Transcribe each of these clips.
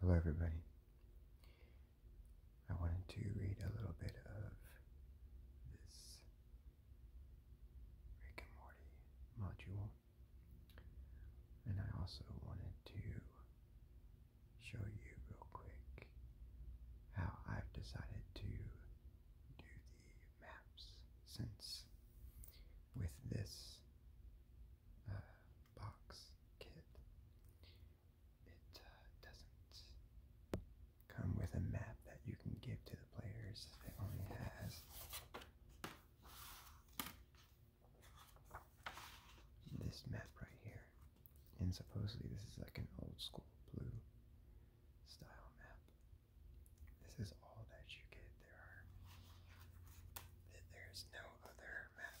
Hello, everybody. I wanted to read a little bit of this Rick and Morty module, and I also wanted to show you real quick how I've decided to do the maps since with this uh, box kit. It uh, doesn't come with a map that you can give to the players. It only has this map right here. And supposedly this is like an old school blue style map. This is all that you get. There are there's no other map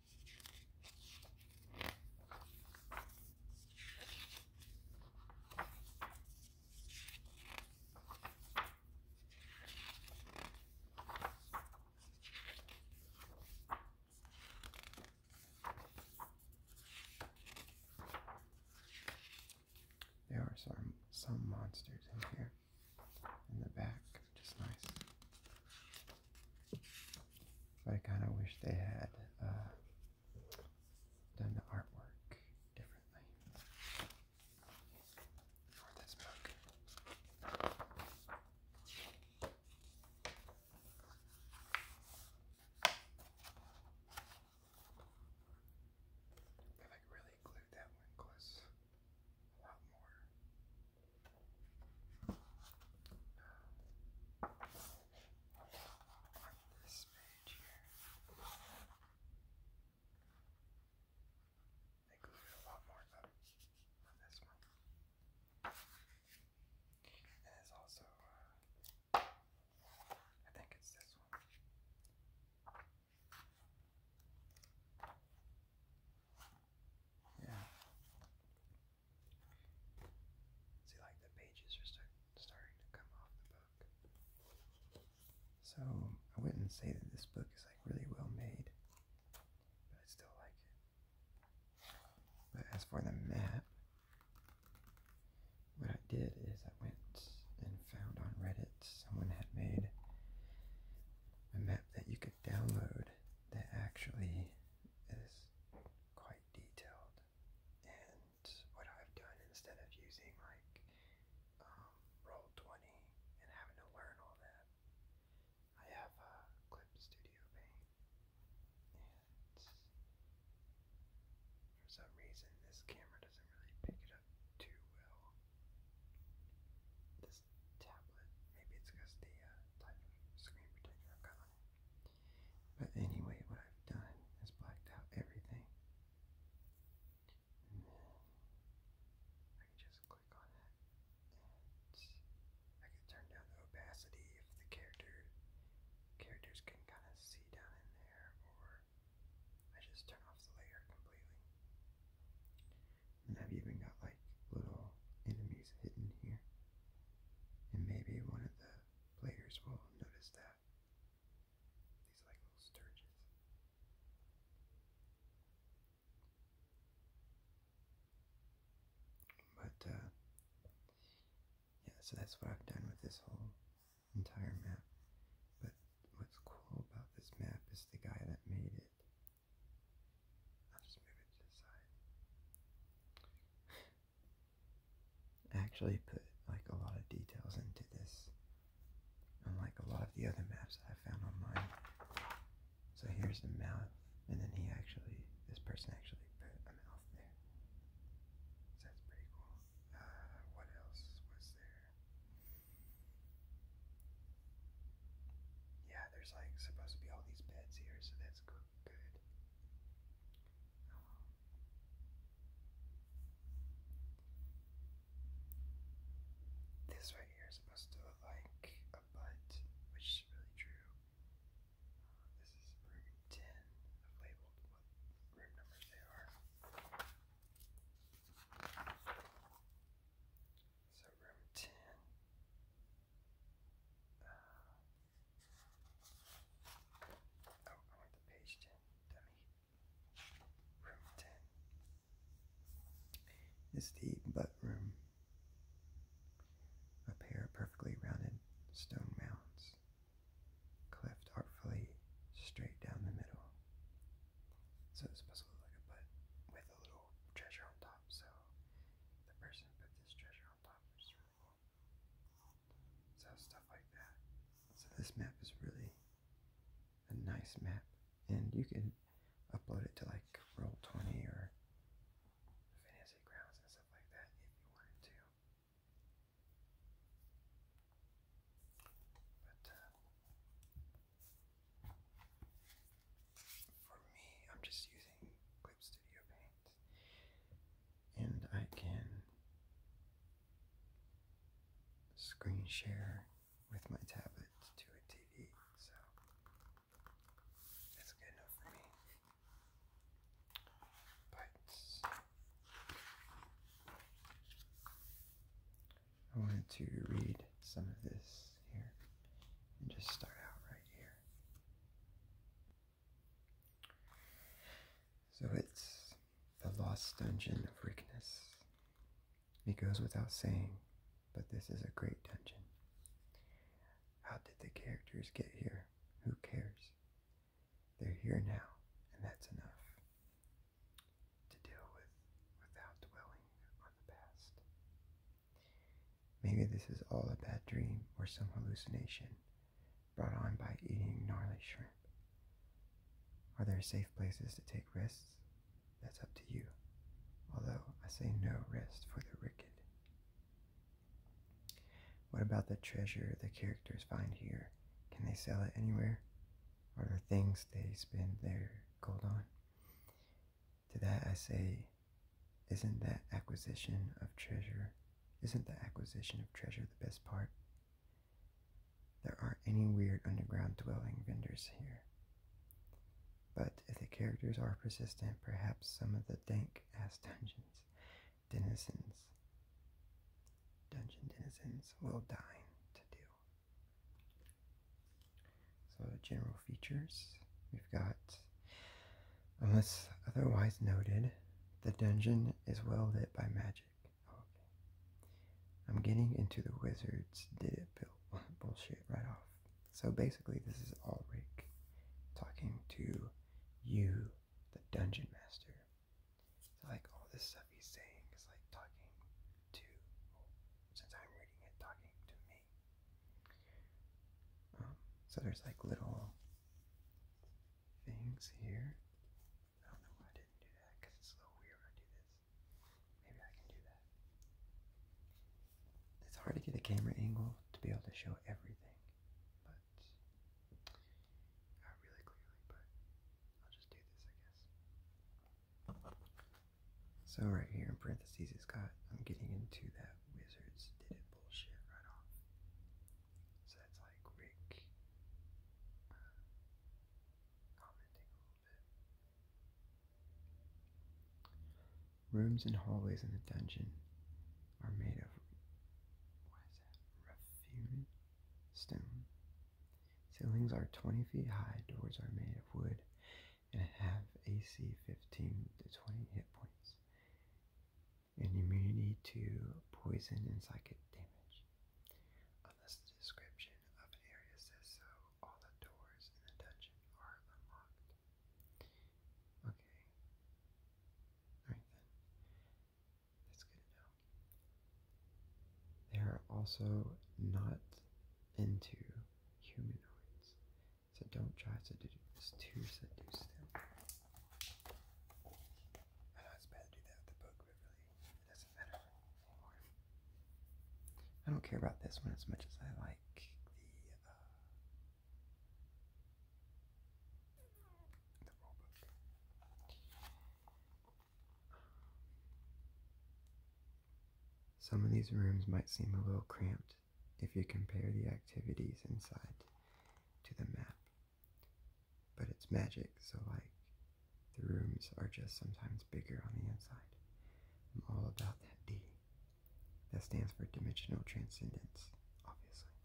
There are some some monsters in here in the back, which nice. I kind of wish they had uh, done the artwork differently for this book. I like really glued that one close a lot more. Now, on this page a lot more on this one. And it's also, I think it's this one. Yeah. See, like the pages are start, starting to come off the book. So I wouldn't say that this book is like really well made, but I still like it. But as for the map, what I did is I went and found on Reddit someone had made a map that you could download that actually is quite detailed. And what I've done instead of using like um, Roll20 and having to learn all that, I have a Clip Studio Paint. And for some reason, this camera doesn't really pick it up too well tablet. Maybe it's because the uh, type of screen protector I've got But anyway, what I've done is blacked out everything. I can just click on it I can turn down the opacity if the character characters can kind of see down in there or I just turn off the layer completely. And have even got like little enemies hidden here. And maybe one of the players will notice that. These like little sturges. But uh, yeah, so that's what I've done with this whole entire map. But what's cool about this map is the guy that made it I'll just move it to the side. actually put like a lot of details into this, unlike a lot of the other maps that I found online. So here's the mouth, and then he actually, this person actually put a mouth there. So that's pretty cool. Uh, what else was there? Yeah, there's like supposed to be all these beds here, so that's good. this right here is supposed to like a butt, which is really true. this is room 10. labeled what room numbers they are. So room 10. Uh, oh, I went to page 10. Dummy. Room 10 is the butt room. A pair of perfectly rounded stone mounds, cleft artfully straight down the middle. So it's supposed look like a butt with a little treasure on top. So the person put this treasure on top, which really cool. So stuff like that. So this map is really a nice map, and you can upload it to like Roll Twenty or Fantasy Grounds and stuff like that if you wanted to. Uh, for me, I'm just using Clip Studio Paint, and I can screen share with my tablet to a TV, so that's good enough for me. But I wanted to read some of this here and just start out right here. So it's the lost dungeon of weakness. It goes without saying, but this is a great dungeon. How did the characters get here? Who cares? They're here now, and that's enough to deal with without dwelling on the past. Maybe this is all a bad dream or some hallucination brought on by eating gnarly shrimp. Are there safe places to take risks? That's up to you. Although I say no risk for the wicked. What about the treasure the characters find here? Can they sell it anywhere? Are there things they spend their gold on? To that I say, isn't that acquisition of treasure, isn't the acquisition of treasure the best part? There aren't any weird underground dwelling vendors here. But if the characters are persistent, perhaps some of the dank ass dungeons, denizens, dungeon denizens will dine to do. So, general features. We've got, unless otherwise noted, the dungeon is well lit by magic. I'm getting into the wizards did it built bullshit right off. So basically, this is all Rick talking to you, the dungeon master. like all this stuff he's saying is like talking to, since I'm reading it, talking to me. Um, so there's like little things here. I don't know why I didn't do that because it's a little weird I do this. Maybe I can do that. It's hard to get a camera angle to be able to show everything, but not really clearly, but I'll just do this, I guess. So right here in parentheses, it's got, I'm getting into that Wizards Did It uh, Rooms and hallways in the dungeon are made of what is stone. Ceilings are 20 feet high, doors are made of wood, and have AC 15 to 20 hit points and immunity to poison and psychic damage. Unless the description of an area says so, all the doors in the dungeon are unlocked. Okay. Alright then. That's good to know. They are also not into humanoids. So don't try to do this to seduce them. I do not care about this one as much as I like the, uh, Some of these rooms might seem a little cramped, if you compare the activities inside to the map. But it's magic, so like the rooms are just sometimes bigger on the inside. I'm all about that D. That stands for dimensional transcendence, obviously.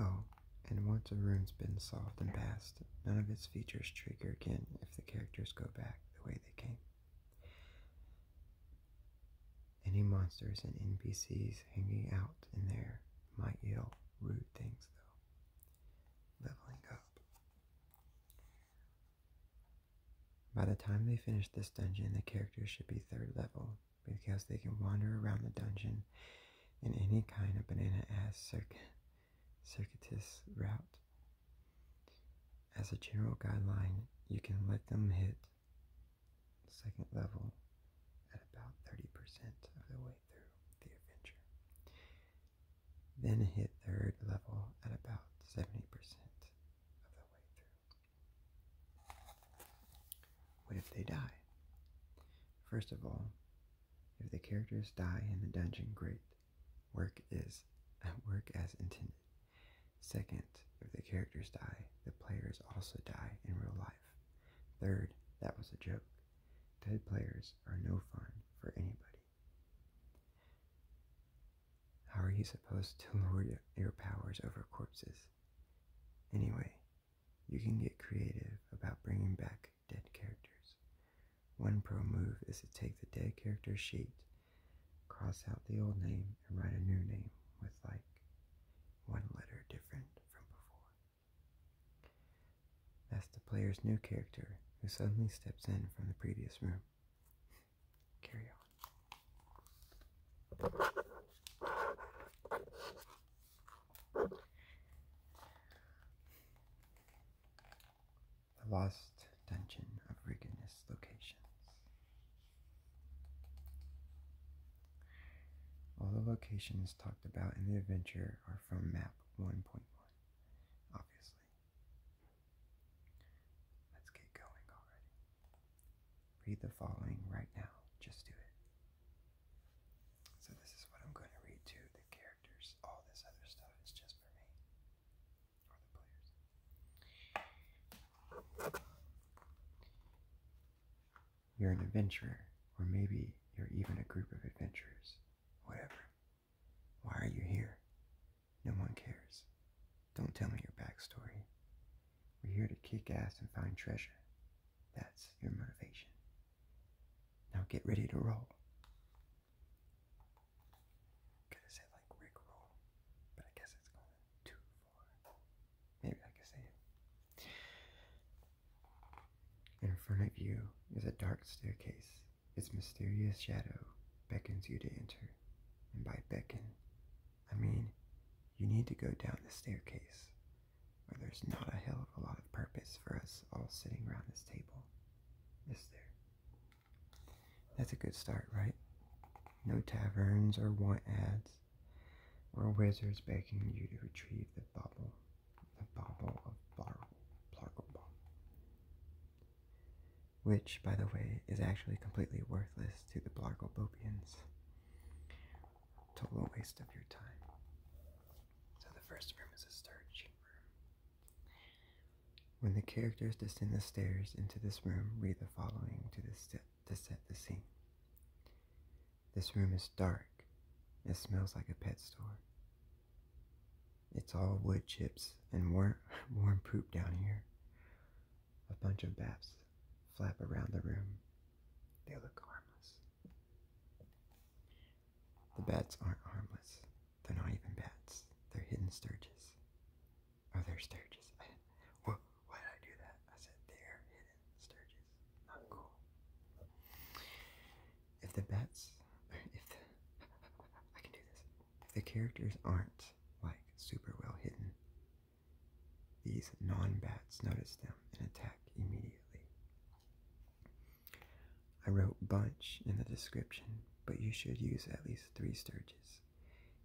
Oh, and once a room's been solved and passed, none of its features trigger again if the characters go back the way they came. Any monsters and NPCs hanging out in there might yell rude things, though. Leveling up. By the time they finish this dungeon, the characters should be third level because they can wander around the dungeon in any kind of banana ass circuitous route as a general guideline, you can let them hit second level at about 30% of the way through the adventure. Then hit third level at about 70% of the way through. What if they die? First of all, if the characters die in the dungeon, great work is at uh, work as intended. Second, if the characters die, the players also die in real life. Third, that was a joke. Dead players are no fun for anybody. How are you supposed to lord your powers over corpses? Anyway, you can get creative about bringing back dead characters. One pro move is to take the dead character sheet cross out the old name and write a new name with like one letter different from before. That's the player's new character who suddenly steps in from the previous room. Carry on the lost Dungeon of rigidness locations. All the locations talked about in the adventure are from map 1.1, obviously. Let's get going already. Read the following right now. Just do it. So, this is what I'm going to read to the characters. All this other stuff is just for me. You're an adventurer, or maybe you're even a group of adventurers. Whatever. Why are you here? No one cares. Don't tell me your backstory. We're here to kick ass and find treasure. That's your motivation. Now get ready to roll. Could have said like Rickroll, but I guess it's going too far. Maybe I could say In front of you is a dark staircase. Its mysterious shadow beckons you to enter. And by beckon, I mean you need to go down the staircase, or there's not a hell of a lot of purpose for us all sitting around this table, is there? That's a good start, right? No taverns or want ads or wizards begging you to retrieve the bubble, the bubble of Plargle Which, by the way, is actually completely worthless to the Blargobopians. Total waste of your time. So the first room is a storage room. When the characters descend the stairs into this room, read the following to, set, the scene. This room is dark. It smells like a pet store. It's all wood chips and warm, warm poop down here. A bunch of bats flap around the room. They look harmless. The bats aren't harmless. They're not even bats. They're hidden sturgeons. Oh, they're sturges. Why did I do that? I said they hidden sturges. Not cool. If the bats, if I can do this. If the characters aren't like super well hidden, these non-bats notice them and attack immediately. I wrote bunch in the description, but you should use at least three sturges.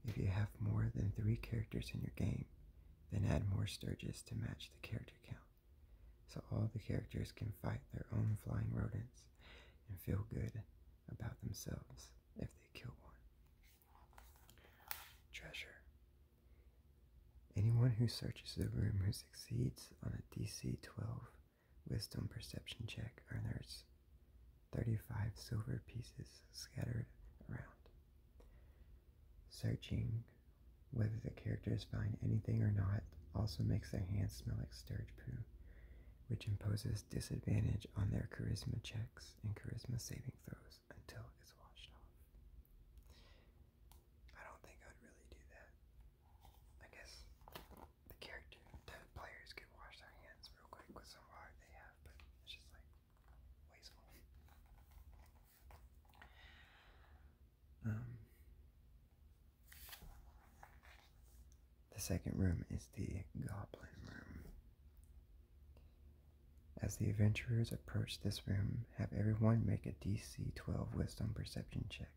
If you have more than three characters in your game, then add more Sturges to match the character count, so all the characters can fight their own flying rodents and feel good about themselves if they kill one. Treasure. Anyone who searches the room who succeeds on a DC 12 Wisdom Perception check earns 35 silver pieces scattered around. Searching whether the characters find anything or not also makes their hands smell like sturge poo, which imposes disadvantage on their charisma checks and charisma saving throws until it's washed off. I don't think I'd really do that. I guess the character, the players can wash their hands real quick with some water they have, but it's just like um, the second room is the Goblin Room. As the adventurers approach this room, have everyone make a DC 12 Wisdom Perception check.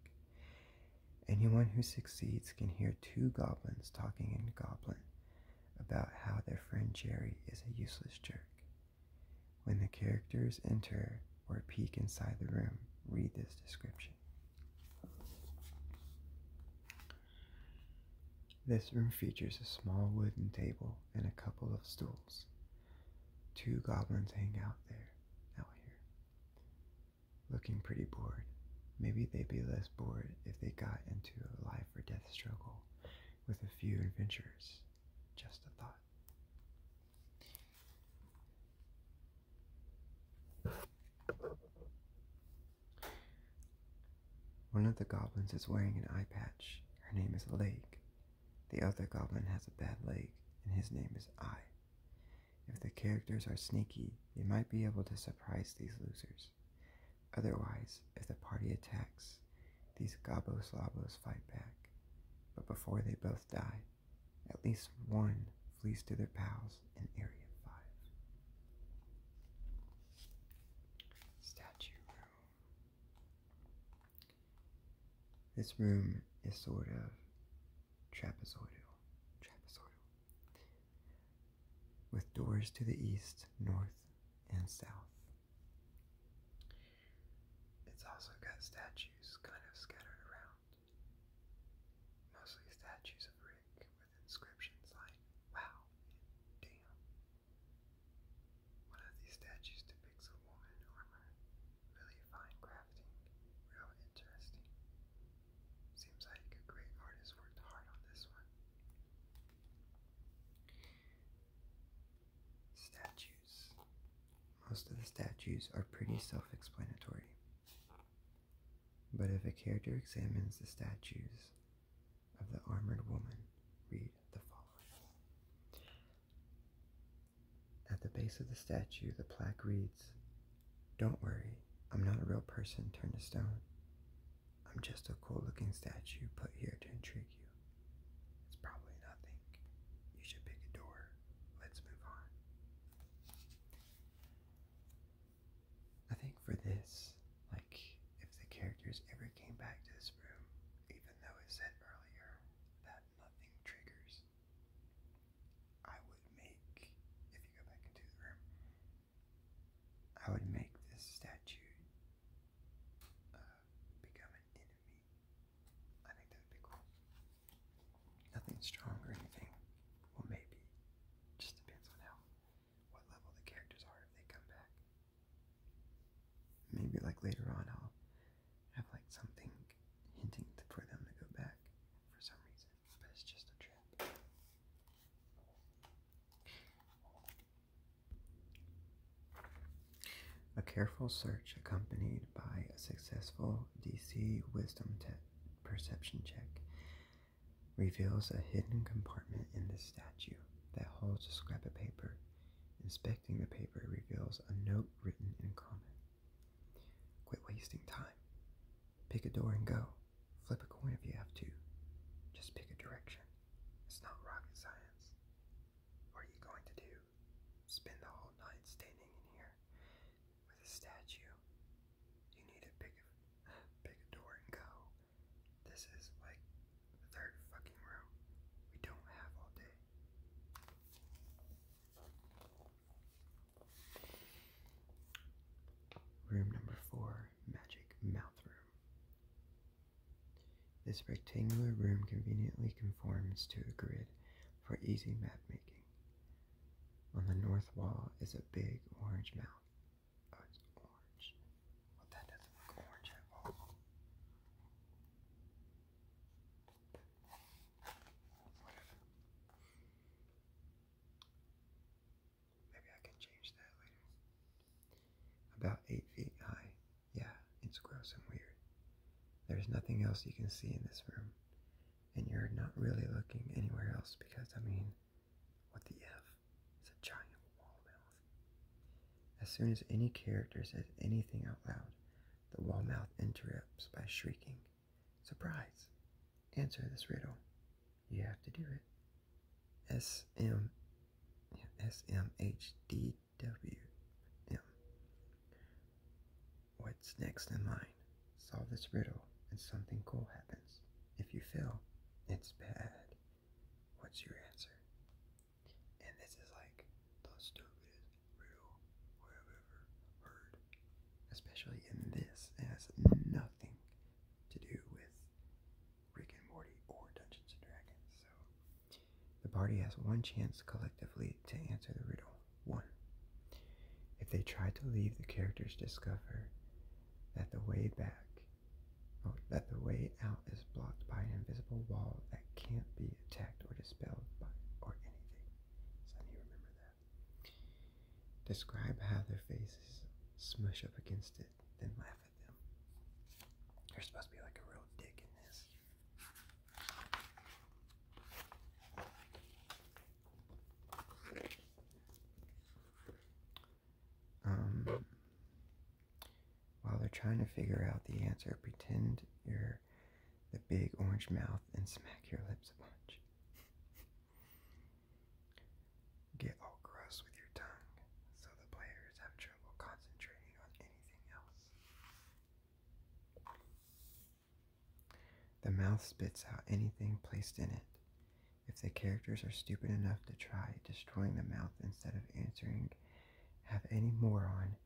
Anyone who succeeds can hear two goblins talking in Goblin, about how their friend Jerry is a useless jerk. When the characters enter or peek inside the room, read this description. This room features a small wooden table and a couple of stools. Two goblins hang out there, out here, looking pretty bored. Maybe they'd be less bored if they got into a life or death struggle with a few adventures. Just a thought. One of the goblins is wearing an eye patch. Her name is Lake. The other goblin has a bad leg, and his name is I. If the characters are sneaky, they might be able to surprise these losers. Otherwise, if the party attacks, these Gobos Lobos fight back. But before they both die, at least one flees to their pals in Area 5. Statue Room. This room is sort of trapezoidal. Trapezoidal with doors to the east, north, and south. It's also got statues kind of scattered around, mostly statues of Rick with inscriptions like "Wow" "Damn." One of these statues depicts a woman in armor, really fine crafting, real interesting. Seems like a great artist worked hard on this one. Statues. Most of the statues are pretty self explanatory. But if a character examines the statues of the armored woman, read the following. At the base of the statue, the plaque reads Don't worry, I'm not a real person turned to stone. I'm just a cool looking statue put here to intrigue you. It's probably nothing. You should pick a door. Let's move on. I think for this, like, if the characters ever came back to this room, even though it said earlier that nothing triggers, I would make, if you go back into the room, I would make this statue uh, become an enemy. I think that would be cool. Nothing strong or anything. Well, maybe. Just depends on how, what level the characters are if they come back. Maybe like later on I'll have like something hinting for them to go back for some reason, but it's just a trip. A careful search accompanied by a successful DC wisdom perception check reveals a hidden compartment in the statue that holds a scrap of paper. Inspecting the paper reveals a note written in common. Quit wasting time. Pick a door and go. Flip a coin if you have to. Just pick a direction. It's not rocket science. What are you going to do? Spend the whole night standing in here with a statue? You need to pick a, pick a door and go. This is like the third fucking room. We don't have all day. Room number four, Magic Mouth Room. This rectangular room conveniently conforms to a grid for easy map making. On the north wall is a big orange mound. Oh, it's orange. Well, that does orange at all. Maybe I can change that later. About eight feet high. Yeah, it's gross and weird. There's nothing else you can see in this room. And you're not really looking anywhere else because, I mean, what the F? It's a giant wall mouth. As soon as any character says anything out loud, the wall mouth interrupts by shrieking, Surprise! Answer this riddle. You have to do it. SM, What's next in line? Solve this riddle and something cool happens. If you fail, it's bad. What's your answer? And this is like the stupidest riddle I've ever heard. Especially in this, it has nothing to do with Rick and Morty or Dungeons and Dragons. So the party has one chance collectively to answer the riddle. One. If they try to leave, the characters discover that the way back, oh, that the way out is blocked by an invisible wall that can't be attacked or dispelled by or anything. So you remember that. Describe how their faces smush up against it, then laugh you're supposed to be like a real dick in this. Um, while they're trying to figure out the answer, pretend you're the big orange mouth and smack your lips a bunch. Get all gross with your tongue, so the players have trouble concentrating on anything else. The mouth spits out anything placed in it. If the characters are stupid enough to try destroying the mouth instead of answering, have any moron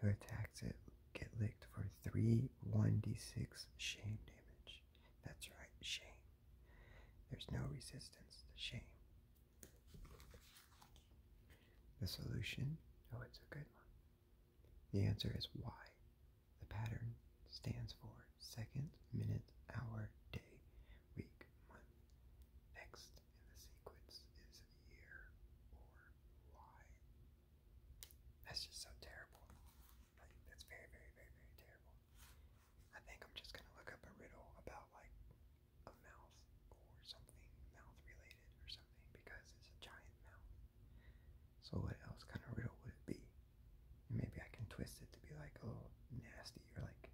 who attacks it get licked for 3 1d6 shame damage. That's right, shame. There's no resistance to shame. The solution, oh, it's a good one. The answer is Y. The pattern stands for second, minute, hour, day, week, month. Next in the sequence is year or Y. That's just so terrible. Like, that's very, very, very, very terrible. I think I'm just gonna look up a riddle about like a mouth or something mouth related or something because it's a giant mouth. So what else kind of riddle would it be? maybe I can twist it to be like a little nasty or like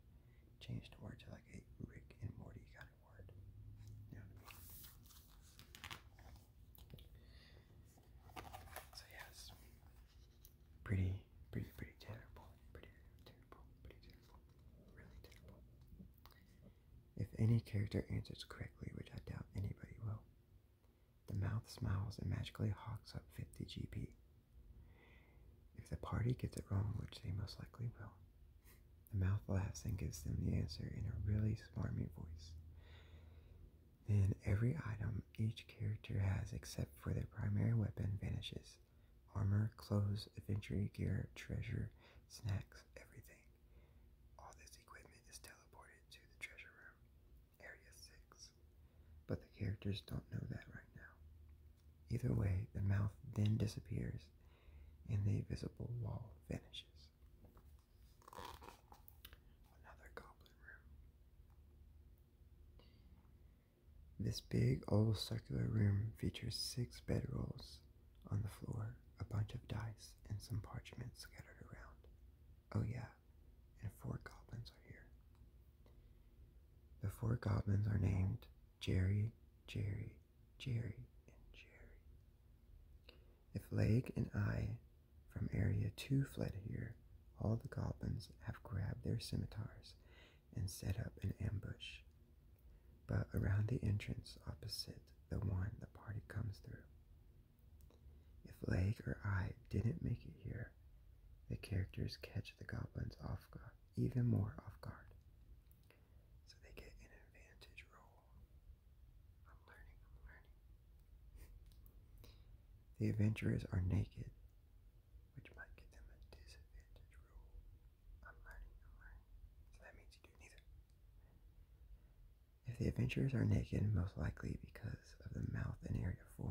change the word to like a Rick and Morty kind of word. So yes, pretty, pretty, pretty terrible, pretty terrible, pretty terrible. Really terrible. If any character answers correctly, which I doubt anybody will, the mouth smiles and magically hawks up 50 GP. If the party gets it wrong, which they most likely will, the mouth laughs and gives them the answer in a really smarmy voice. Then every item each character has except for their primary weapon vanishes armor, clothes, adventure gear, treasure, snacks, everything. All this equipment is teleported to the treasure room, Area 6. But the characters don't know that right now. Either way, the mouth then disappears and the invisible wall vanishes. Another goblin room. This big old circular room features six bedrolls on the floor, a bunch of dice, and some parchment scattered around. Oh, yeah, and four goblins are here. The four goblins are named Jerry, Jerry, Jerry, and Jerry. If Leg and I from Area 2 fled here, all the goblins have grabbed their scimitars and set up an ambush, but around the entrance opposite the one the party comes through. If Lake or I didn't make it here, the characters catch the goblins off guard, even more off guard. So they get an advantage roll. I'm learning, I'm learning. the adventurers are naked, which might get them a disadvantage roll that means you do neither. If the adventurers are naked, most likely because of the mouth in Area 4,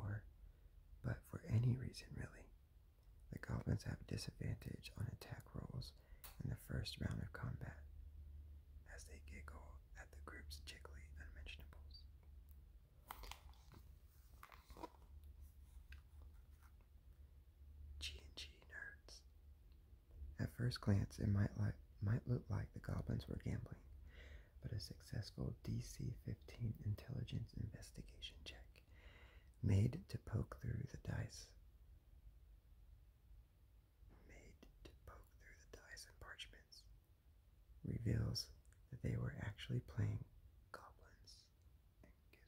but for any reason really, the goblins have a disadvantage on attack rolls in the first round of combat as they giggle at the group's jiggly unmentionables. G&G nerds. At first glance, it might, look like the goblins were gambling, but a successful DC-15 intelligence investigation check made to poke through the dice. Made to poke through the dice and parchments reveals that they were actually playing goblins.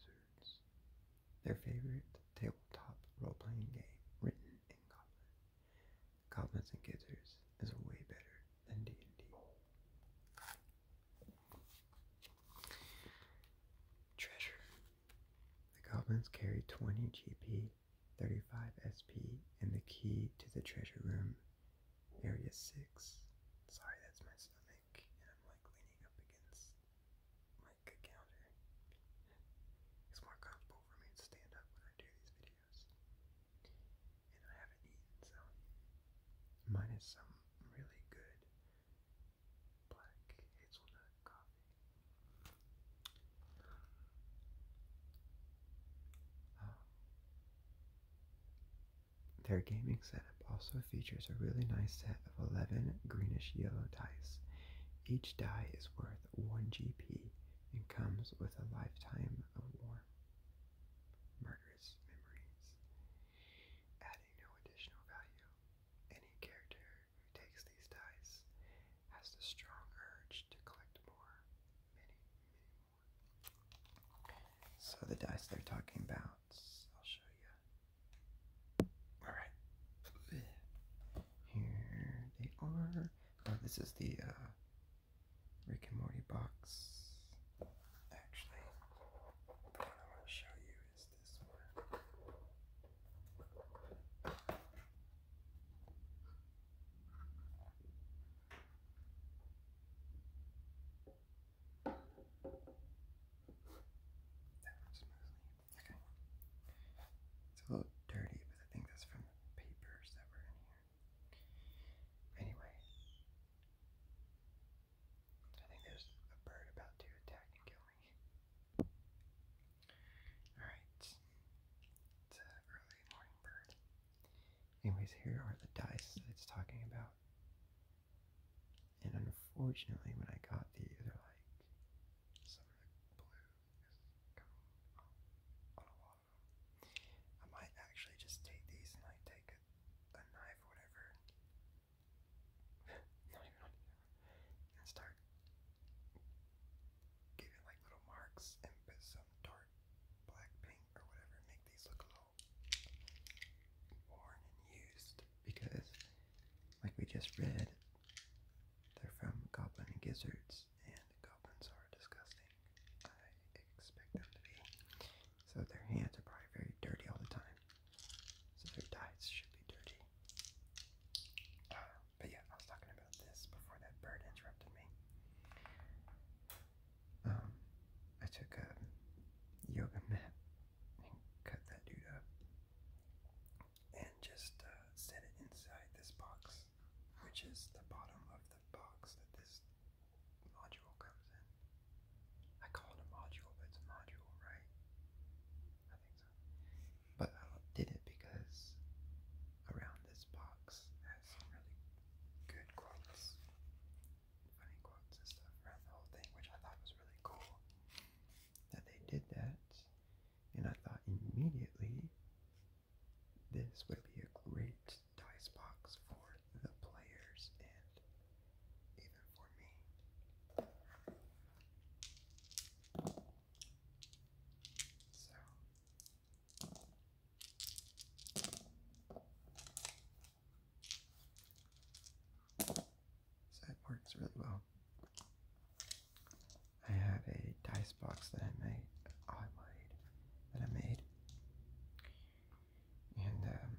Gizzards, their favorite tabletop role-playing game written in Goblin. Goblins and Gizzards is way better than D&D. Treasure. The goblins carry 20 GP, 35 SP, and the key to the treasure room, area 6. Sorry, that's my stomach, and I'm like leaning up against my my counter. It's more comfortable for me to stand up when I do these videos. And I haven't eaten, so mine some really good black hazelnut coffee. Um, their gaming set also features a really nice set of 11 greenish yellow dice. Each die is worth 1 GP and comes with a lifetime of warm. Murderous memories. Adding no additional value, any character who takes these dice has the strong urge to collect more. So the dice they're talking about I'll show you. Alright. Here they are. Oh, this is the uh, Rick and Morty box. Actually, the one I want to show you is this one. Okay. It's a little dirty, but I think that's from papers that were in here. Anyway, I think there's a bird about to attack and kill me. Alright, it's an early morning bird. Anyways, here are the dice that it's talking about. And unfortunately, when I got these, they're like summer blue I might actually just take these and like take a, knife or whatever, and start giving like little marks and put some dark black paint or whatever, make these look a little worn and used because, like we just read, they're from Goblin and Gizzards, and goblins are disgusting. I expect them to be. So their hands are probably very dirty all the time. So their diets should be dirty. but yeah, I was talking about this before that bird interrupted me. Um, I took a yoga mat and cut that dude up and just uh, set it inside this box, which is the bottom of the box that this module comes in. I call it a module, but it's a module, right? I think so. But I did it because around this box has really good quotes, funny quotes and stuff around the whole thing, which I thought was really cool that they did that, and I thought immediately this would be a great dice box for the players and even for me. So. So it works really well. I have a dice box that I made, that I made, and um,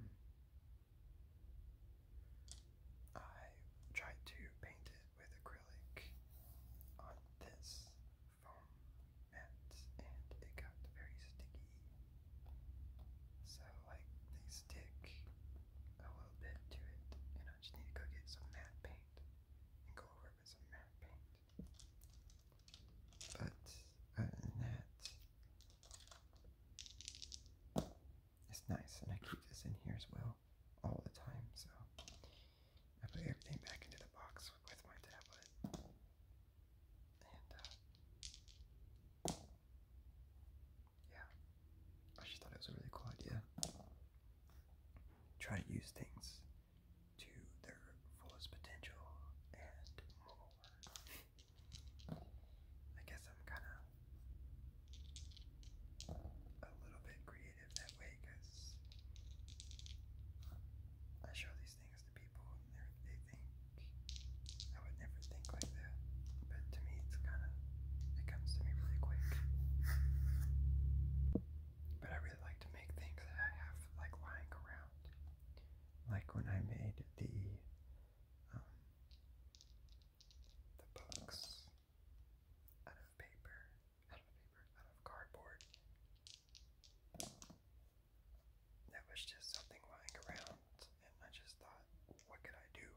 I tried to paint it with acrylic on this foam mat, and it got very sticky. So like they stick a little bit to it, and I just need to go get some matte paint and go over it with some matte paint. But other than that, it's nice, and I keep this in here as well all the time, so I put everything back into the box with my tablet. And, uh, yeah, I just thought it was a really cool idea. Try to use things to their fullest potential and more. I guess I'm kind of a little bit creative that way because I show these things to people and they think I would never think like but to me, it's kind of, it comes to me really quick. But I really like to make things that I have like lying around. Like when I made the, um, the books out of paper, out of paper, out of cardboard. That was just something lying around, and I just thought, what could I do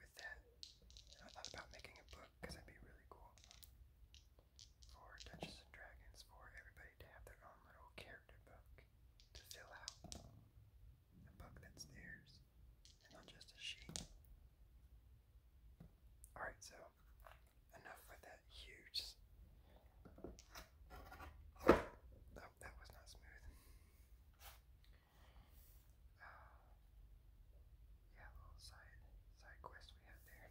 with that. And I thought about making a book because that'd be really cool for Dungeons and Dragons for everybody to have their own little character book to fill out. A book that's theirs and not just a sheet. Alright, so enough with that huge. Oh, that was not smooth. Oh. yeah, little side side quest we had there.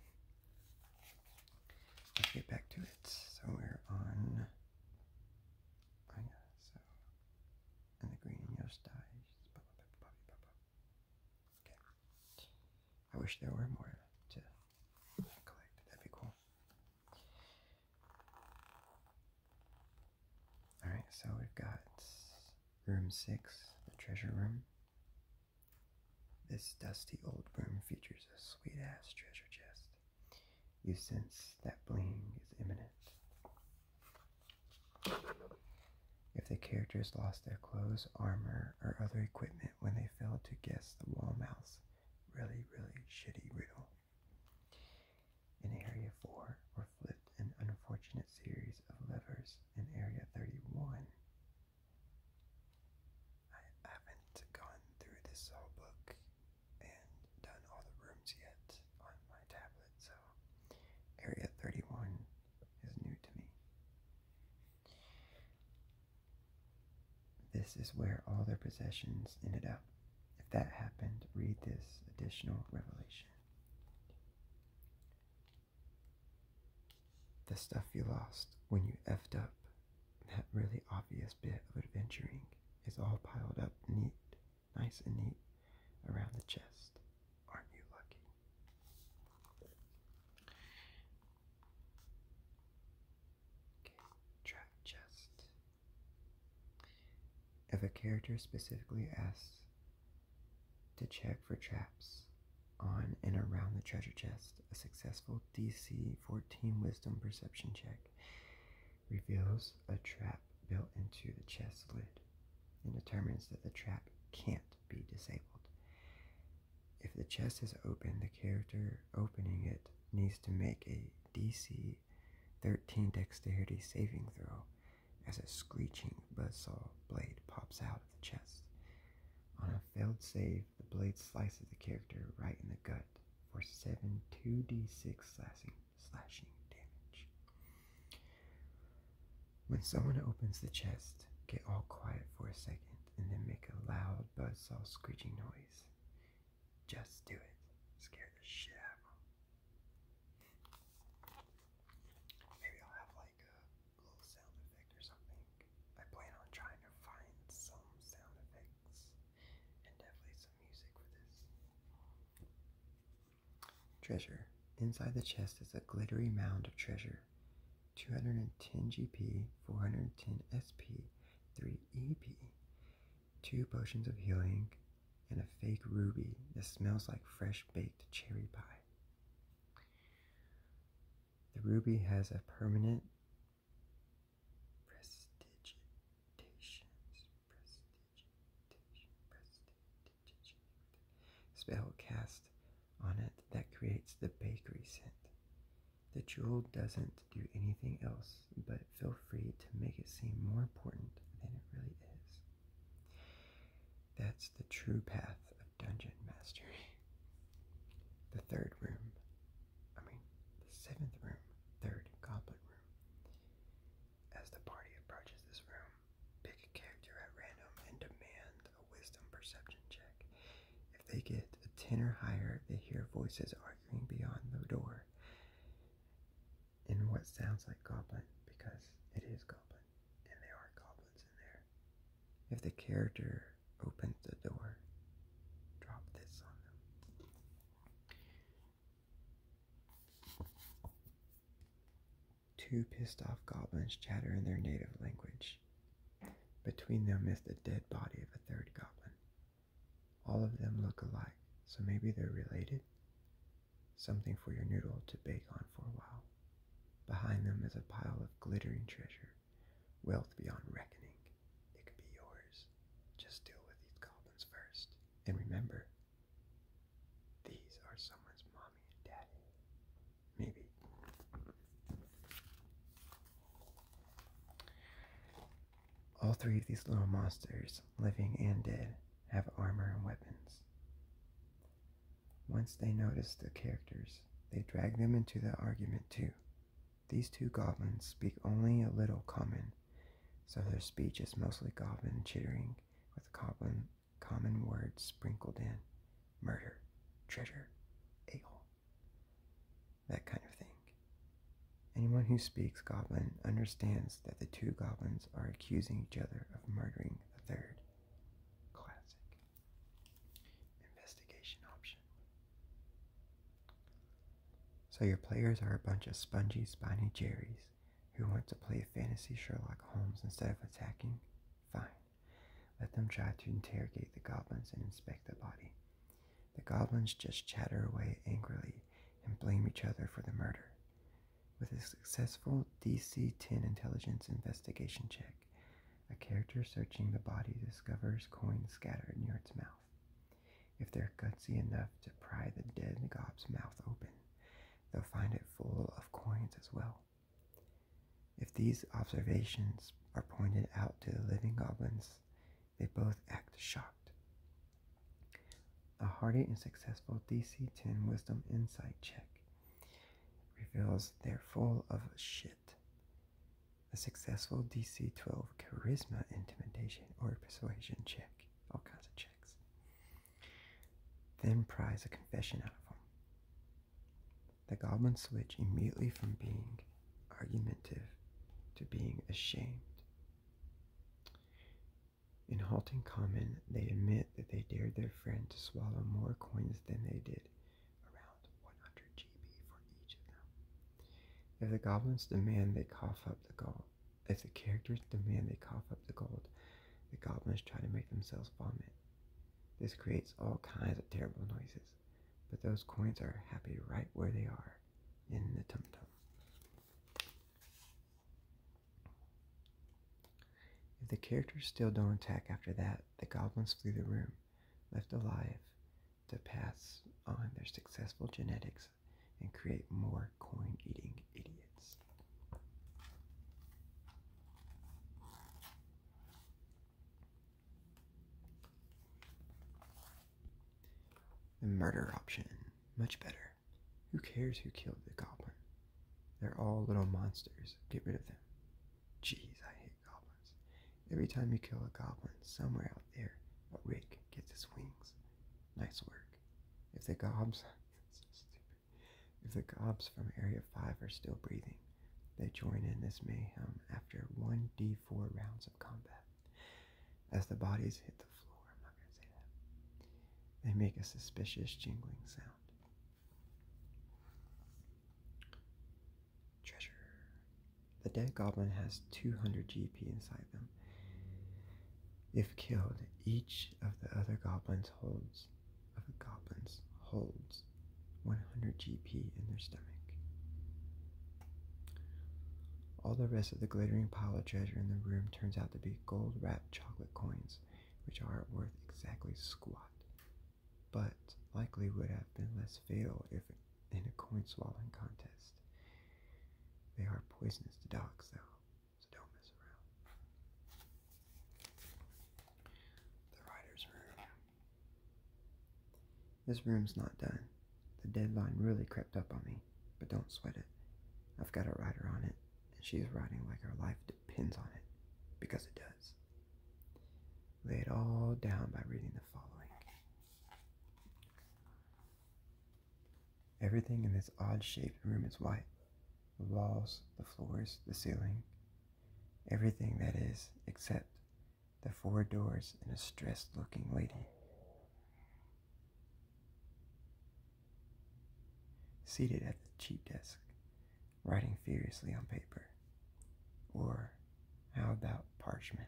get back to it. So we're on. I oh Yeah, so, and the green and yellow Okay. I wish there were more to collect. That'd be cool. Alright, so we've got room 6, the treasure room. This dusty old room features a sweet ass treasure chest. You sense that bling is imminent. If the characters lost their clothes, armor, or other equipment when they failed to guess the wall mouse, really, really shitty riddle. In Area 4 were flipped an unfortunate series of levers in Area 31. I haven't gone through this whole book and done all the rooms yet on my tablet, so Area 31 is new to me. This is where all their possessions ended up. If that happened, read this additional revelation. The stuff you lost when you effed up, that really obvious bit of adventuring, is all piled up neat, nice and neat, around the chest. Aren't you lucky? Okay, chest. If a character specifically asks to check for traps on and around the treasure chest, a successful DC 14 Wisdom Perception check reveals a trap built into the chest lid and determines that the trap can't be disabled. If the chest is open, the character opening it needs to make a DC 13 Dexterity saving throw as a screeching buzzsaw blade pops out of the chest. On a failed save, the blade slices the character right in the gut for 7 2d6 slashing, slashing damage. When someone opens the chest, get all quiet for a second and then make a loud buzzsaw screeching noise. Just do it. Scare the shit out of them. Maybe I'll have like a little sound effect or something. I plan on trying to find some sound effects and definitely some music for this. Treasure. Inside the chest is a glittery mound of treasure. 210 GP, 410 SP, 3 EP, 2 potions of healing, and a fake ruby that smells like fresh baked cherry pie. The ruby has a permanent prestigitation, spell cast on it that creates the bakery scent. The jewel doesn't do anything else, but feel free to make it seem more important than it really is. That's the true path of dungeon mastery. The third room, I mean, the seventh room, third goblet room. As the party approaches this room, pick a character at random and demand a wisdom perception check. If they get a 10 or higher, they hear voices arguing beyond the door in what sounds like goblin because it is goblin and there are goblins in there. If the character opens the door, drop this on them. Two pissed off goblins chatter in their native language. Between them is the dead body of a third goblin. All of them look alike, so maybe they're related? something for your noodle to bake on for a while. Behind them is a pile of glittering treasure, wealth beyond reckoning. It could be yours. Just deal with these goblins first. And remember, these are someone's mommy and daddy. Maybe. All three of these little monsters, living and dead, have armor and weapons. Once they notice the characters, they drag them into the argument too. These two goblins speak only a little common, so their speech is mostly goblin chittering with goblin common words sprinkled in murder, treasure, a that kind of thing. Anyone who speaks goblin understands that the two goblins are accusing each other of murdering a third. Classic. Investigation option. So your players are a bunch of spongy, spiny jerrys who want to play fantasy Sherlock Holmes instead of attacking? Fine. Let them try to interrogate the goblins and inspect the body. The goblins just chatter away angrily and blame each other for the murder. With a successful DC 10 intelligence investigation check, a character searching the body discovers coins scattered near its mouth. If they're gutsy enough to pry the dead gob's mouth open, they'll find it full of coins as well. If these observations are pointed out to the living goblins, they both act shocked. A hearty and successful DC 10 Wisdom Insight check reveals they're full of shit. A successful DC 12 charisma, intimidation, or persuasion check. All kinds of checks. Then pries a confession out of them. The goblin switch immediately from being argumentative to being ashamed. In halting comment, they admit that they dared their friend to swallow more coins than they did, around 100 GB for each of them. If the goblins demand they cough up the gold, if the characters demand they cough up the gold, the goblins try to make themselves vomit. This creates all kinds of terrible noises, but those coins are happy right where they are in the tum tum. If the characters still don't attack after that, the goblins flee the room, left alive to pass on their successful genetics and create more coin eating idiots. The murder option. Much better. Who cares who killed the goblin? They're all little monsters. Get rid of them. Jeez, I hate goblins. Every time you kill a goblin, somewhere out there, a rake gets its wings. Nice work. If the gobs, so stupid. If the gobs from Area 5 are still breathing, they join in this mayhem after 1d4 rounds of combat. As the bodies hit the floor, I'm not going to say that, they make a suspicious jingling sound. Treasure. The dead goblin has 200 GP inside them. If killed, each of the other goblins holds of the goblins holds 100 GP in their stomach. All the rest of the glittering pile of treasure in the room turns out to be gold wrapped chocolate coins which are worth exactly squat, but likely would have been less fatal if in a coin swallowing contest. They are poisonous to dogs, though, so don't mess around. The writer's room. This room's not done. The deadline really crept up on me, but don't sweat it. I've got a writer on it, and she's writing like her life depends on it depends on it, because it does. Lay it all down by reading the following. Everything in this odd shaped room is white the walls, the floors, the ceiling, everything that is, except the four doors and a stressed looking lady seated at the cheap desk, writing furiously on paper. Or how about parchment?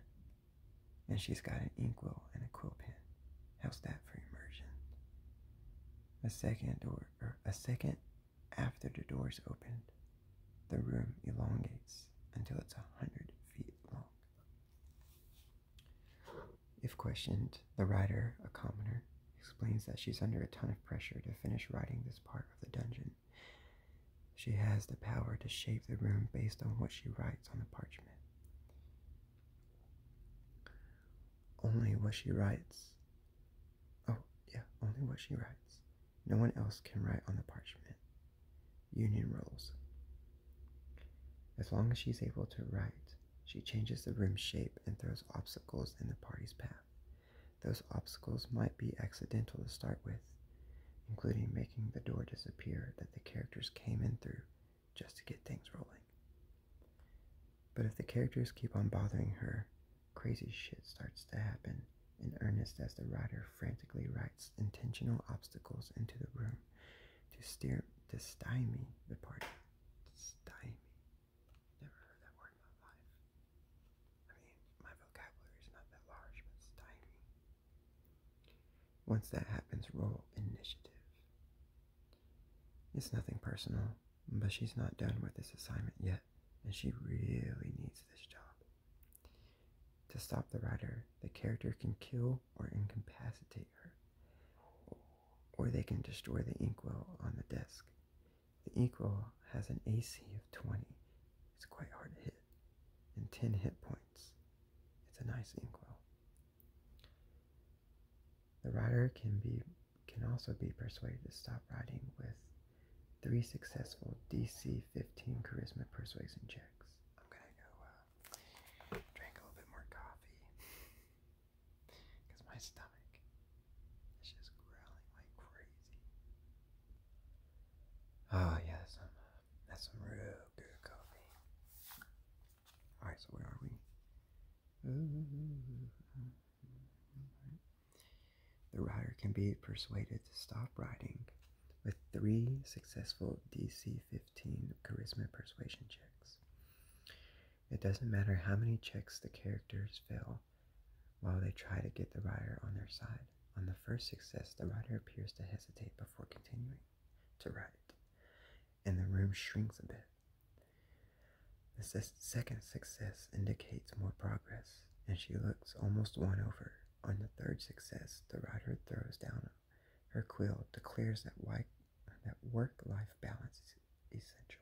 And she's got an inkwell and a quill pen. How's that for immersion? A second door or a second after the door's opened, the room elongates until it's a hundred feet long. If questioned, the writer, a commoner, explains that she's under a ton of pressure to finish writing this part of the dungeon. She has the power to shape the room based on what she writes on the parchment. Only what she writes. Oh, yeah, only what she writes. No one else can write on the parchment. Union rules. As long as she's able to write, she changes the room's shape and throws obstacles in the party's path. Those obstacles might be accidental to start with, including making the door disappear that the characters came in through just to get things rolling. But if the characters keep on bothering her, crazy shit starts to happen in earnest as the writer frantically writes intentional obstacles into the room to steer to stymie the party. Stymie. Never heard that word in my life. I mean, my vocabulary is not that large, but it's tiny. Once that happens, roll initiative. It's nothing personal, but she's not done with this assignment yet, and she really needs this job. To stop the writer, the character can kill or incapacitate her, or they can destroy the inkwell on the desk. The ink has an AC of 20. It's quite hard to hit, and 10 hit points. It's a nice ink The rider can be can also be persuaded to stop riding with three successful DC 15 charisma persuasion checks. I'm gonna go uh, drink a little bit more coffee. Because my stomach is just growling like crazy. Oh, yeah, that's some, that's some real good coffee. Alright, so where are we? The rider can be persuaded to stop riding with three successful DC 15 charisma persuasion checks. It doesn't matter how many checks the characters fail, while they try to get the writer on their side. On the first success, the writer appears to hesitate before continuing to write, and the room shrinks a bit. The second success indicates more progress, and she looks almost won over. On the third success, the writer throws down her quill, declares that work life balance is essential,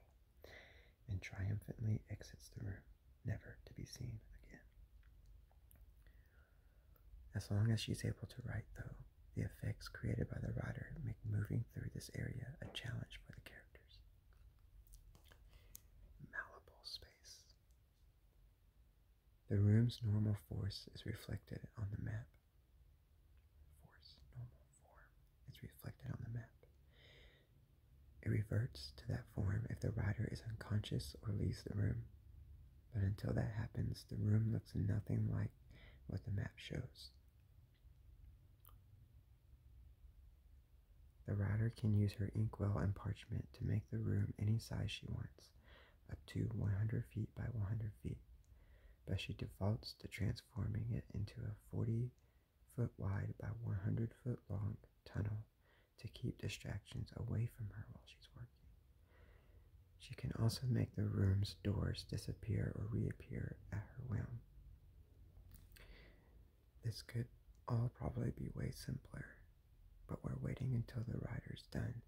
and triumphantly exits the room, never to be seen again. As long as she's able to write, though, the effects created by the writer make moving through this area a challenge for the characters. Malleable space. The room's normal force is reflected on the map. Force, normal form, is reflected on the map. It reverts to that form if the rider is unconscious or leaves the room. But until that happens, the room looks nothing like what the map shows. The rider can use her inkwell and parchment to make the room any size she wants, up to 100 feet by 100 feet, but she defaults to transforming it into a 40 foot wide by 100 foot long tunnel to keep distractions away from her while she's working. She can also make the room's doors disappear or reappear at her will. This could all probably be way simpler, but we're waiting until the writer's done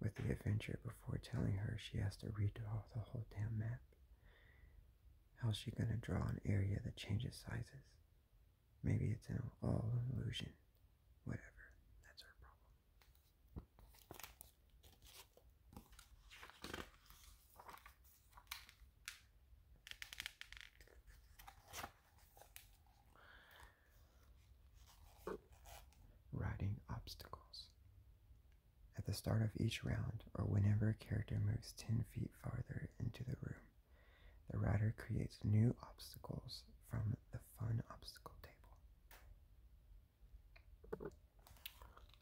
with the adventure before telling her she has to redraw the whole damn map. How's she going to draw an area that changes sizes? Maybe it's an all illusion. Whatever. That's her problem. Riding obstacles. At the start of each round, or whenever a character moves 10 feet farther into the room. The router creates new obstacles from the fun obstacle table.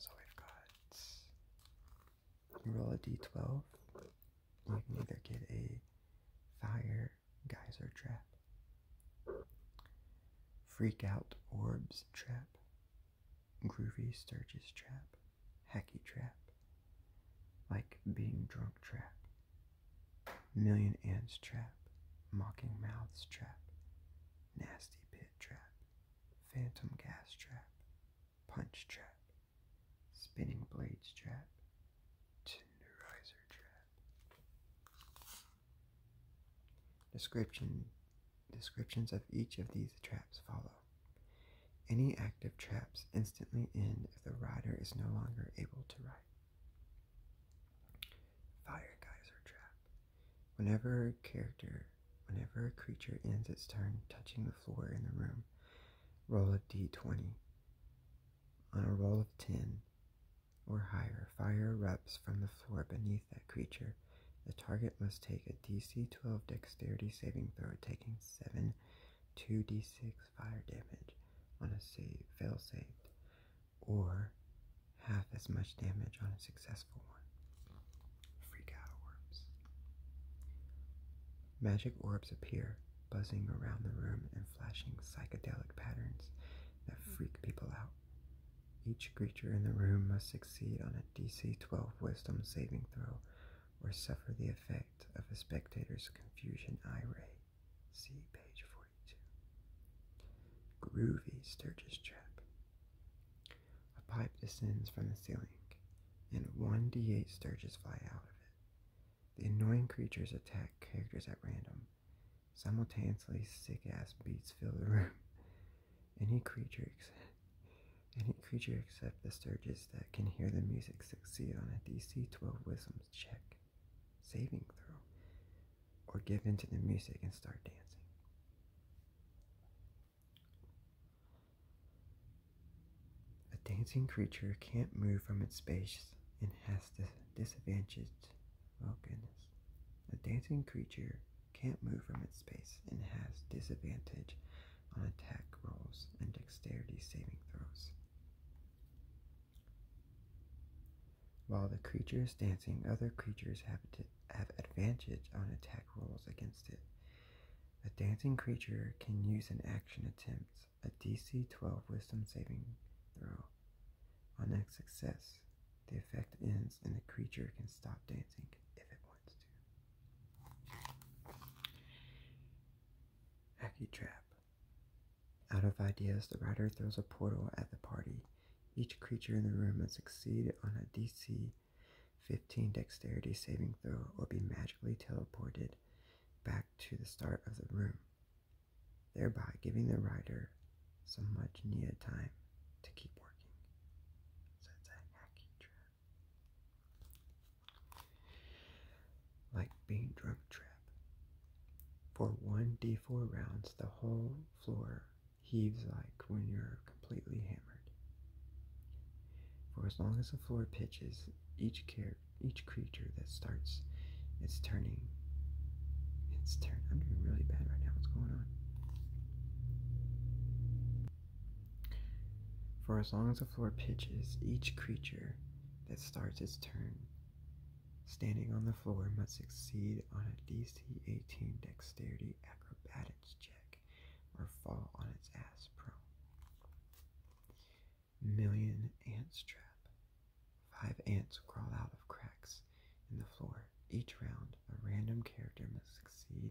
So we've got roll a d12. You can either get a fire geyser trap, freak out orbs trap, groovy Sturgis trap, hacky trap, like being drunk trap, million ants trap, mocking mouths trap, nasty pit trap, phantom gas trap, punch trap, spinning blades trap, tenderizer trap. Description descriptions of each of these traps follow. Any active traps instantly end if the rider is no longer able to ride. Fire guys are trapped. Whenever a character, whenever a creature ends its turn touching the floor in the room, roll a d20. On a roll of 10 or higher, fire erupts from the floor beneath that creature. The target must take a DC 12 dexterity saving throw, taking 7 2d6 fire damage on a save, fail save, or half as much damage on a successful one. Freak out orbs. Magic orbs appear, buzzing around the room and flashing psychedelic patterns that freak people out. Each creature in the room must succeed on a DC 12 wisdom saving throw or suffer the effect of a spectator's confusion eye See page 42. Groovy Sturgis Trap. A pipe descends from the ceiling, and 1d8 Sturgis fly out of it. The annoying creatures attack characters at random. Simultaneously, sick ass beats fill the room. Any creature any creature except the Sturges that can hear the music succeed on a DC 12 Wisdom check, saving throw, or give into the music and start dancing. A dancing creature can't move from its space and has this disadvantage. Oh goodness. A dancing creature can't move from its space and has disadvantage on attack rolls and dexterity saving throws. While the creature is dancing, other creatures have, have advantage on attack rolls against it. A dancing creature can use an action attempt, a DC 12 wisdom saving throw. On a success, the effect ends and the creature can stop dancing if it wants. Hacky Trap. Out of ideas, the writer throws a portal at the party. Each creature in the room must succeed on a DC 15 dexterity saving throw or be magically teleported back to the start of the room, thereby giving the writer some much needed time to keep working. So a hacky trap like being drunk trap. For one d4 rounds, the whole floor heaves like when you're completely hammered. For as long as the floor pitches, each care each creature that starts its turning its turn. I'm doing really bad right now. What's going on? For as long as the floor pitches, each creature that starts its turn standing on the floor must succeed on a DC 18 dexterity acrobatics check or fall on its ass prone. Million Ants Trap. Five ants crawl out of cracks in the floor. Each round, a random character must succeed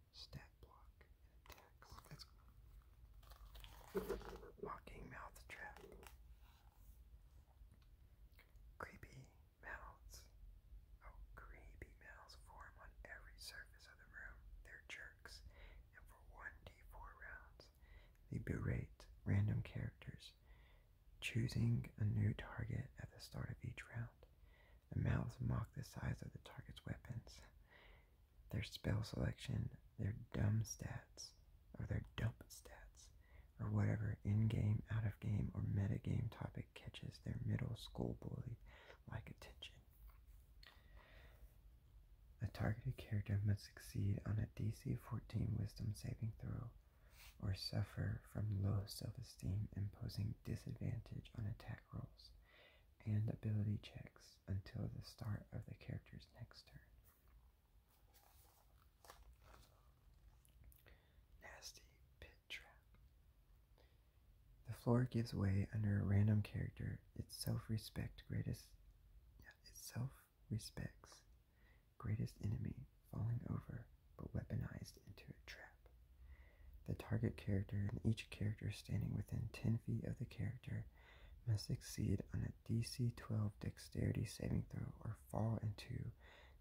stat block, and attacks. That's Mocking Mouth Trap. Creepy mouths. Oh, creepy mouths form on every surface of the room. They're jerks, and for 1d4 rounds, they berate random characters, choosing a new target at the start of each round. The mouths mock the size of the target's weapons, their spell selection, their dumb stats, or their dumb stats, or whatever in game, out of game, or metagame topic catches their middle school bully like attention. A targeted character must succeed on a DC 14 wisdom saving throw or suffer from low self esteem, imposing disadvantage on attack rolls and ability checks until the start of the character's next turn. Nasty Pit Trap. The floor gives way under a random character. Its self-respect greatest its self-respects greatest enemy falling over but weaponized into a trap. The target character and each character standing within 10 feet of the character must succeed on a DC 12 dexterity saving throw or fall into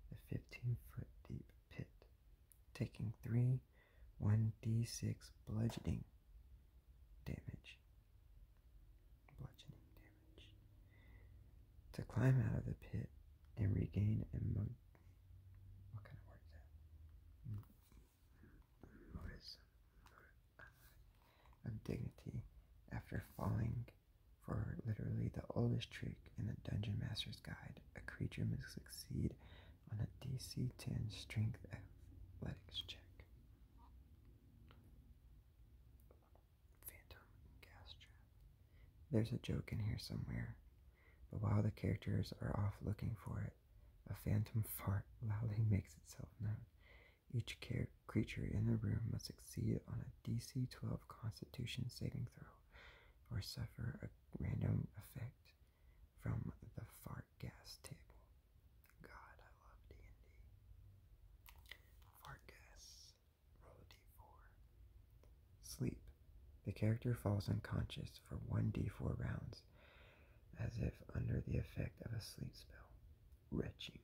the 15 foot deep pit, taking 3 1d6 bludgeoning damage. Bludgeoning damage. To climb out of the pit and regain a what kind of word is that? What is of dignity after falling for literally the oldest trick in the Dungeon Master's Guide. A creature must succeed on a DC 10 strength athletics check. Phantom gas trap. There's a joke in here somewhere. But while the characters are off looking for it, a phantom fart loudly makes itself known. Each creature in the room must succeed on a DC 12 Constitution saving throw or suffer a random effect from the fart gas table. God, I love D&D. Fart gas. Roll a d4. Sleep. The character falls unconscious for 1d4 rounds, as if under the effect of a sleep spell. Retching.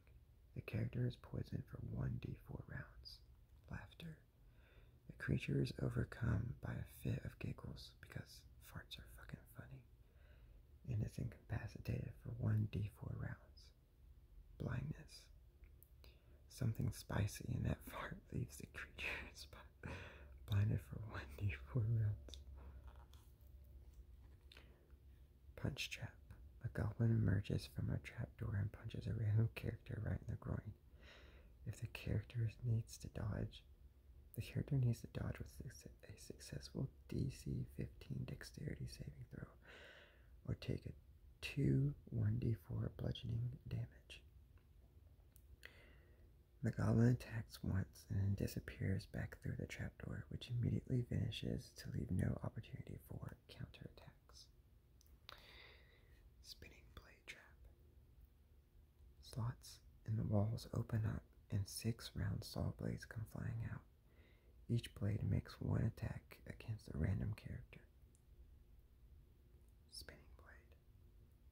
The character is poisoned for 1d4 rounds. Laughter. The creature is overcome by a fit of giggles because farts are fucking funny and is incapacitated for 1d4 rounds. Blindness. Something spicy in that fart leaves the creature spineless. blinded for 1d4 rounds. Punch Trap. A goblin emerges from a trap door and punches a random character right in the groin. If the character needs to dodge, the character needs to dodge with a successful DC 15 dexterity saving throw or take a 2 1d4 bludgeoning damage. The goblin attacks once and then disappears back through the trapdoor, which immediately vanishes to leave no opportunity for counterattacks. Spinning blade trap. Slots in the walls open up and six round saw blades come flying out. Each blade makes one attack against a random character. Spinning blade.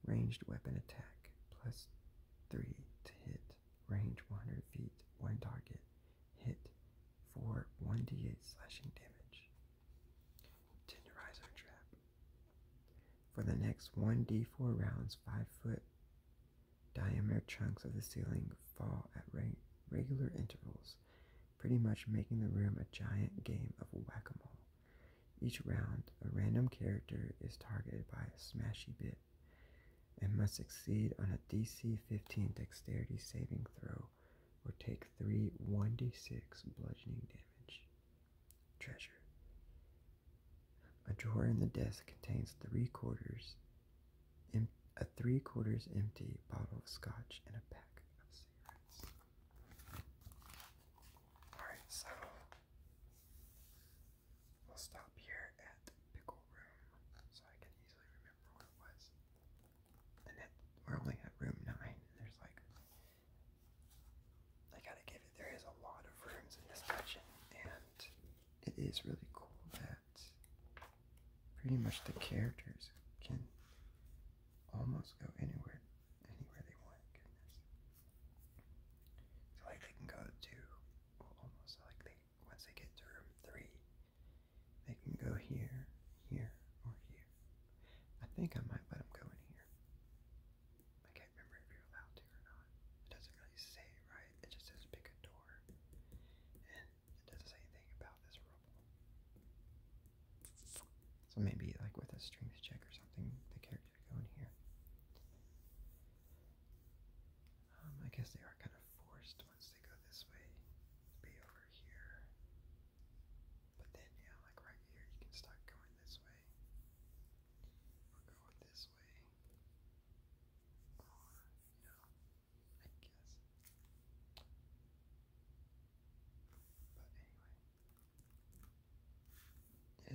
Ranged weapon attack plus 3 to hit. Range 100 feet. One target. Hit for 1d8 slashing damage. Tenderizer trap. For the next 1d4 rounds, 5 foot diameter chunks of the ceiling fall at reg regular intervals, pretty much making the room a giant game of whack a mole. Each round, a random character is targeted by a smashy bit and must succeed on a DC 15 dexterity saving throw or take 3 1d6 bludgeoning damage. Treasure. A drawer in the desk contains three quarters, a three quarters empty bottle of scotch and a pack of cigarettes. Alright, so we will stop here at Pickle Room so I can easily remember what it was. And we're only at room 9, and there's like. I gotta give it, there is a lot of rooms in this dungeon, and it is really cool that pretty much the characters can almost go anywhere, anywhere they want. Goodness. Like they can go to almost like they once they get to room three, they can go here, here, or here. I think I might let them go in here. I can't remember if you're allowed to or not. It doesn't really say, right? It just says pick a door, and it doesn't say anything about this rubble. So maybe like with a strength check or something, the character going here. Um, I guess they are kind of forced once they go this way to be over here. But then, yeah, like right here, you can start going this way. Or going this way. Or, you I guess. But anyway.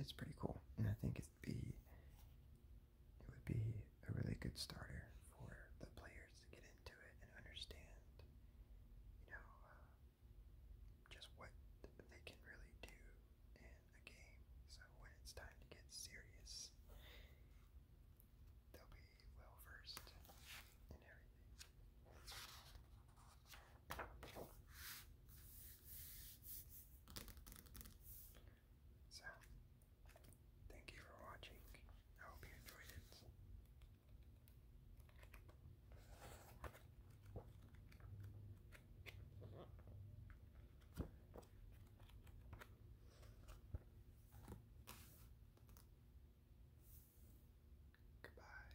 It's pretty cool, and I think it'd be it would be a really good starter for the players to get into it and understand, you know, uh, just what they can really do in a game. So when it's time to get serious, they'll be well versed in everything. So, thank you for watching. I hope you enjoyed it. Goodbye.